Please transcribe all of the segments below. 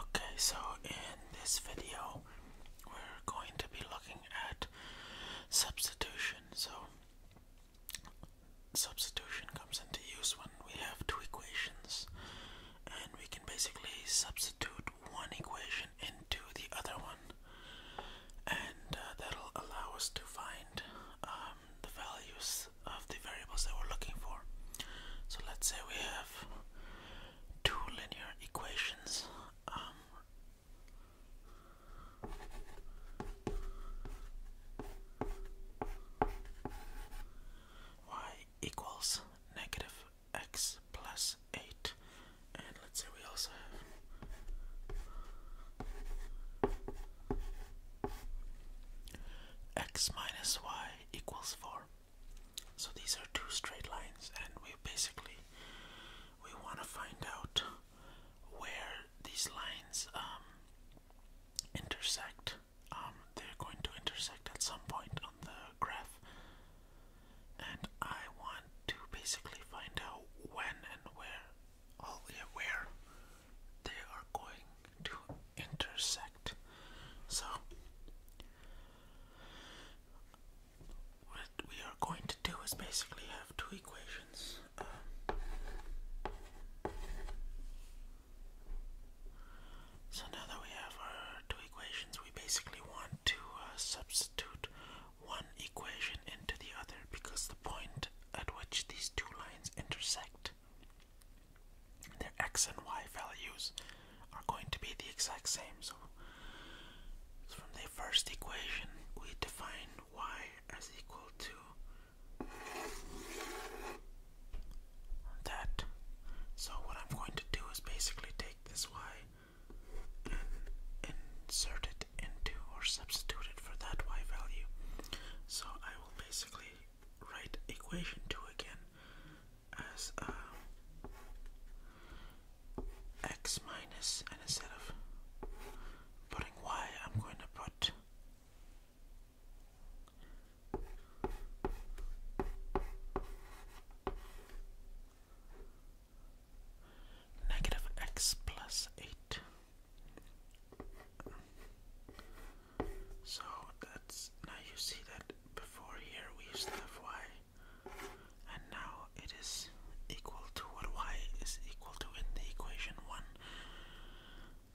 Okay, so in this video, we're going to be looking at substitution. So substitution comes into use when we have two equations and we can basically substitute one equation into the other one and uh, that'll allow us to find um, the values of the variables that we're looking for. So let's say we have two linear equations. Um, y equals negative x plus 8. And let's say we also have x minus y equals 4. So these are two straight lines, and we basically we want to find out where these lines um, intersect um, they're going to intersect at some point on the graph. And I want to basically find out when and where, oh, all where they are going to intersect. So what we are going to do is basically have two equations. Um, so now that we have our two equations, we basically want to uh, substitute one equation into the other because the point at which these two lines intersect, their x and y values are going to be the exact same. so from the first equation, we define y as equal to that. So what I'm going to do is basically take this y and insert it into or substitute it for that y value. So I will basically write equation 2 again as uh, x minus and instead of putting y I'm going to put Negative x plus 8. So that's now you see that before here we used to have y, and now it is equal to what y is equal to in the equation 1.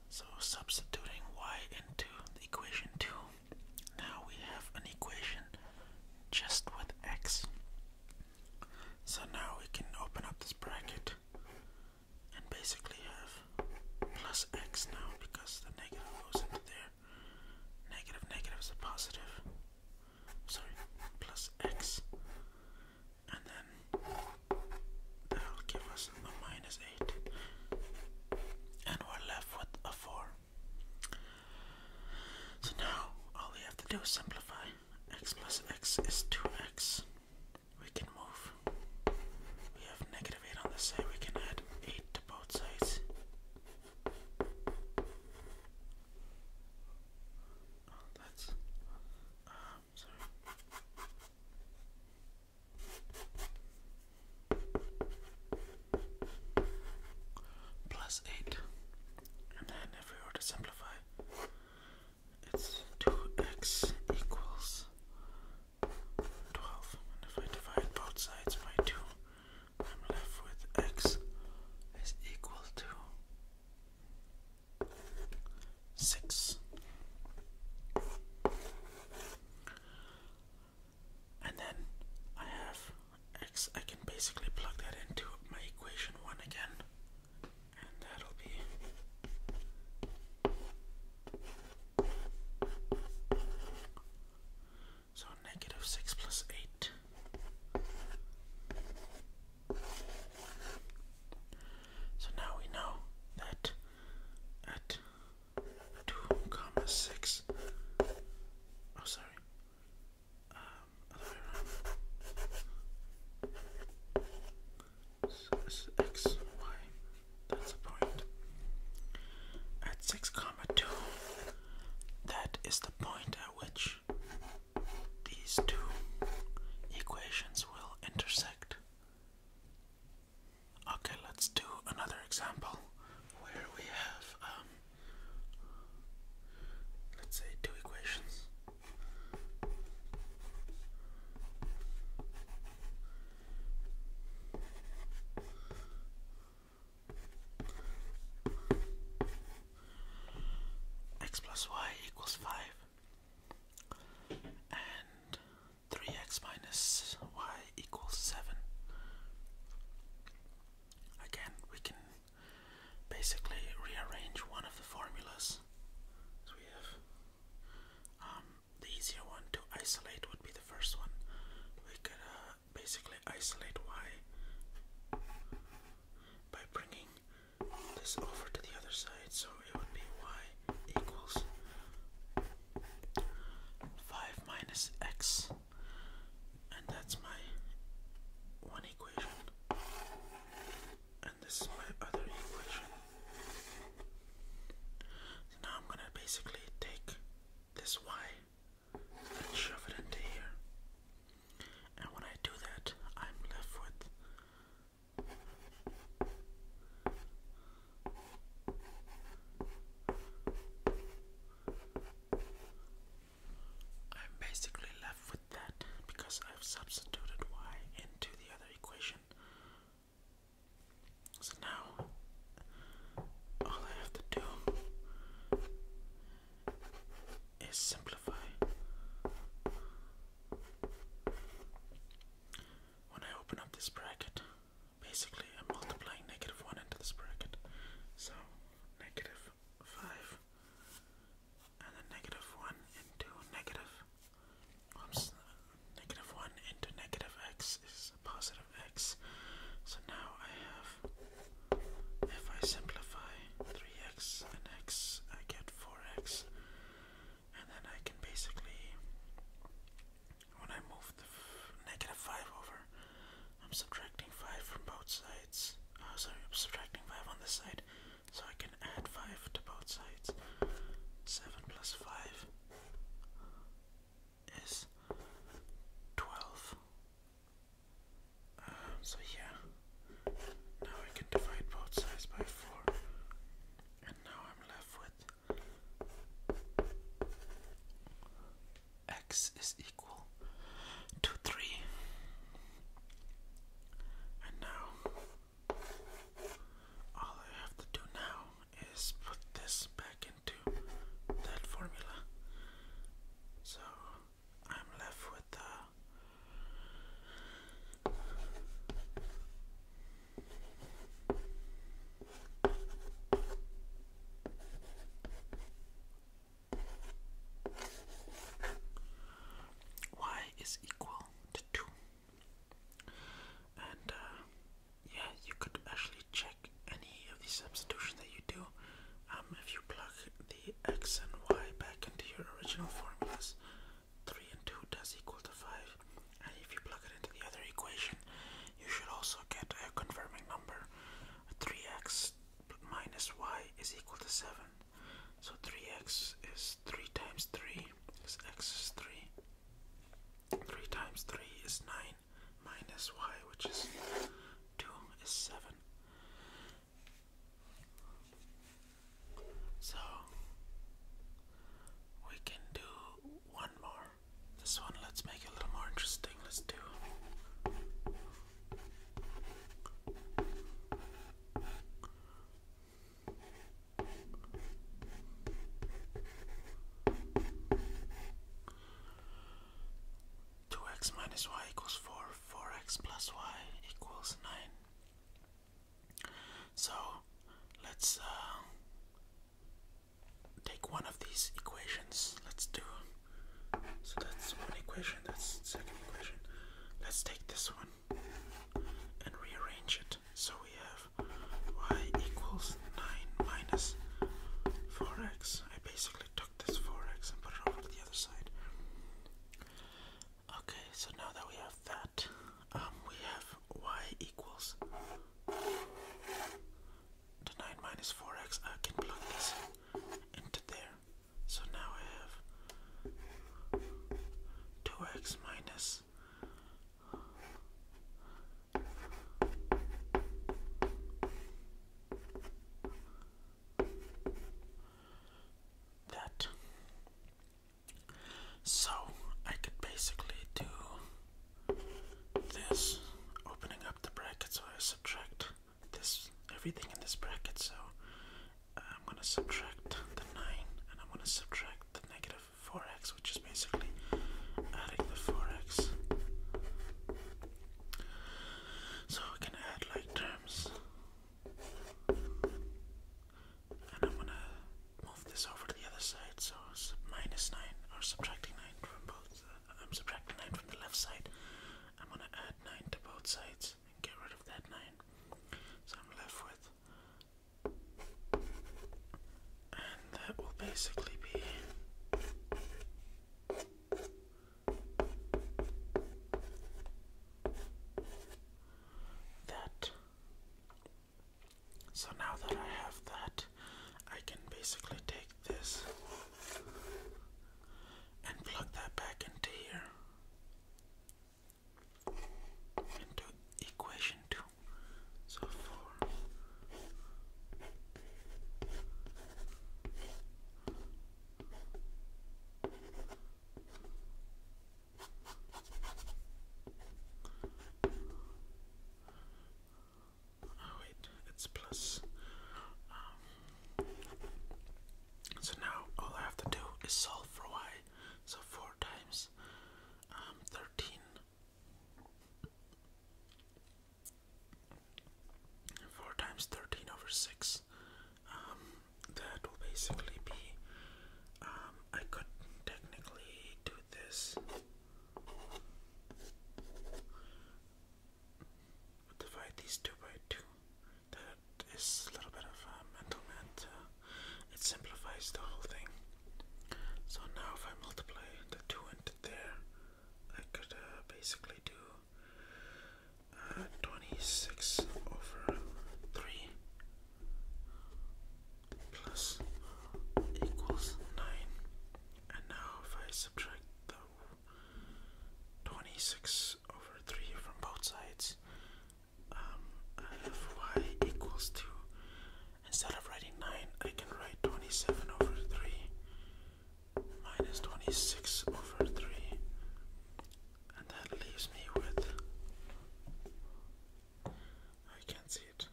So substituting y into the equation 2, now we have an equation just with x. So now we can open up this bracket and basically have plus x now because the negative goes into there. Negative negative is a positive. Sorry, plus x and then that'll give us a minus 8 and we're left with a 4 so now all we have to do is simplify x plus x is 2x we can move we have negative 8 on this side we can add 8 to both sides oh, that's uh, Plus eight. And then if we were to simplify, it's two x equals twelve. And if I divide both sides by two, I'm left with x is equal to six. And then I have x, I can basically plug that into my equation 1 again, and that'll be. So negative 6 plus 8 so now we know that at 2 comma 6, oh sorry, um, other way around, so this is x, y, that's the point. At 6 comma 2, that is the point at which these two equations will intersect. Okay, let's do another example where we have, um, let's say, two equations. x plus y equals 5 and 3x minus y equals 7. Again, we can basically rearrange one of the formulas. So we have um, the easier one to isolate would be the first one. We could uh, basically isolate y by bringing this over to the other side, so it would be y equals 5 minus x, and that's my one equation, and this is my other equation. So now I'm gonna basically take this y and shove it into here. And when I do that, I'm left with. I'm basically left with that because I've substituted y into the other equation. So now all I have to do is simplify. When I open up this bracket, basically I'm multiplying negative 1 into this bracket. So negative 5 and then negative 1 into negative oops, negative 1 into negative x is positive x. So now I have if I simplify 3x and x, I get 4x. And then I can basically, when I move the negative 5 over, I'm subtracting 5 from both sides. Oh, sorry, I'm subtracting 5 on this side. So I can add 5 to both sides. 7 plus 5 is 12. Um, so yeah, now I can divide both sides by 4, and now I'm left with x is equal to 3, and now all I have to do now is put this back into that formula. So I'm left with uh, y is equal to 2 and uh, yeah you could actually check any of these substitutions that you do um, if you plug x and y back into your original formulas, 3 and 2 does equal to 5. And if you plug it into the other equation, you should also get a confirming number. 3x minus y is equal to 7. So 3x is 3 times 3, is x is 3. 3 times 3 is 9 minus y, which is 2, is 7. So we can do one more. This one, let's make it a little more interesting. Let's do. Two x minus y equals four 4x plus y equals 9. So let's uh, take one of these equations. Let's do. So that's one equation, that's second equation. Let's take this one and rearrange it. So we have y equals 9 minus 4x. I basically took this 4x and put it over the other side. Okay, so now that we have that, um, we have y equals the 9 minus 4x. I can plug this into there. So now I have 2x minus that. So I could basically do this, opening up the bracket, so I subtract this everything in this bracket. So I'm gonna subtract the nine, and I'm gonna subtract the negative four x, which is basically adding the four x so we can add like terms. And I'm gonna move this over to the other side. So it's minus 9 or subtracting 9 from both. Uh, I'm subtracting 9 from the left side. I'm gonna add 9 to both sides and get rid of that 9. So I'm left with. And that will basically be that. So now that I have that, I can basically take this and plug that back into here into equation two. So four Oh wait, it's plus. Um, so now all I have to do is solve for y. So four times um, thirteen 4 times 13 over 6. Um, that will basically be. Um, I could technically do this. Divide these two by two. That is a little bit of uh, mental math. Uh, it simplifies the whole thing. So now, if I multiply the two into there, I could uh, basically do uh, 26 over 3 plus equals 9. And now if I subtract the 26 over 3 from both sides, um, I have y equals 2. Instead of writing 9, I can write 27 over 3 minus 26 over 3 and that leaves me with I can't see it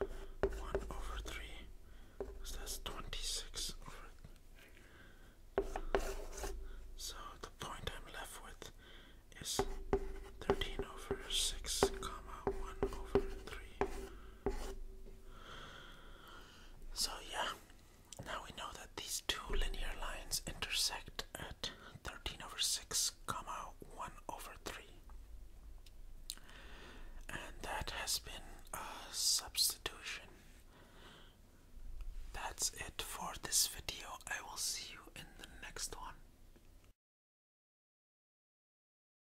uh, 1 over 3 26 so the point I'm left with is 13 over 6 comma 1 over 3 so, yeah, now we know that these two linear lines intersect at 13 over 6, comma 1 over 3. And that has been a substitution. That's it for this video. I will see you in the next one.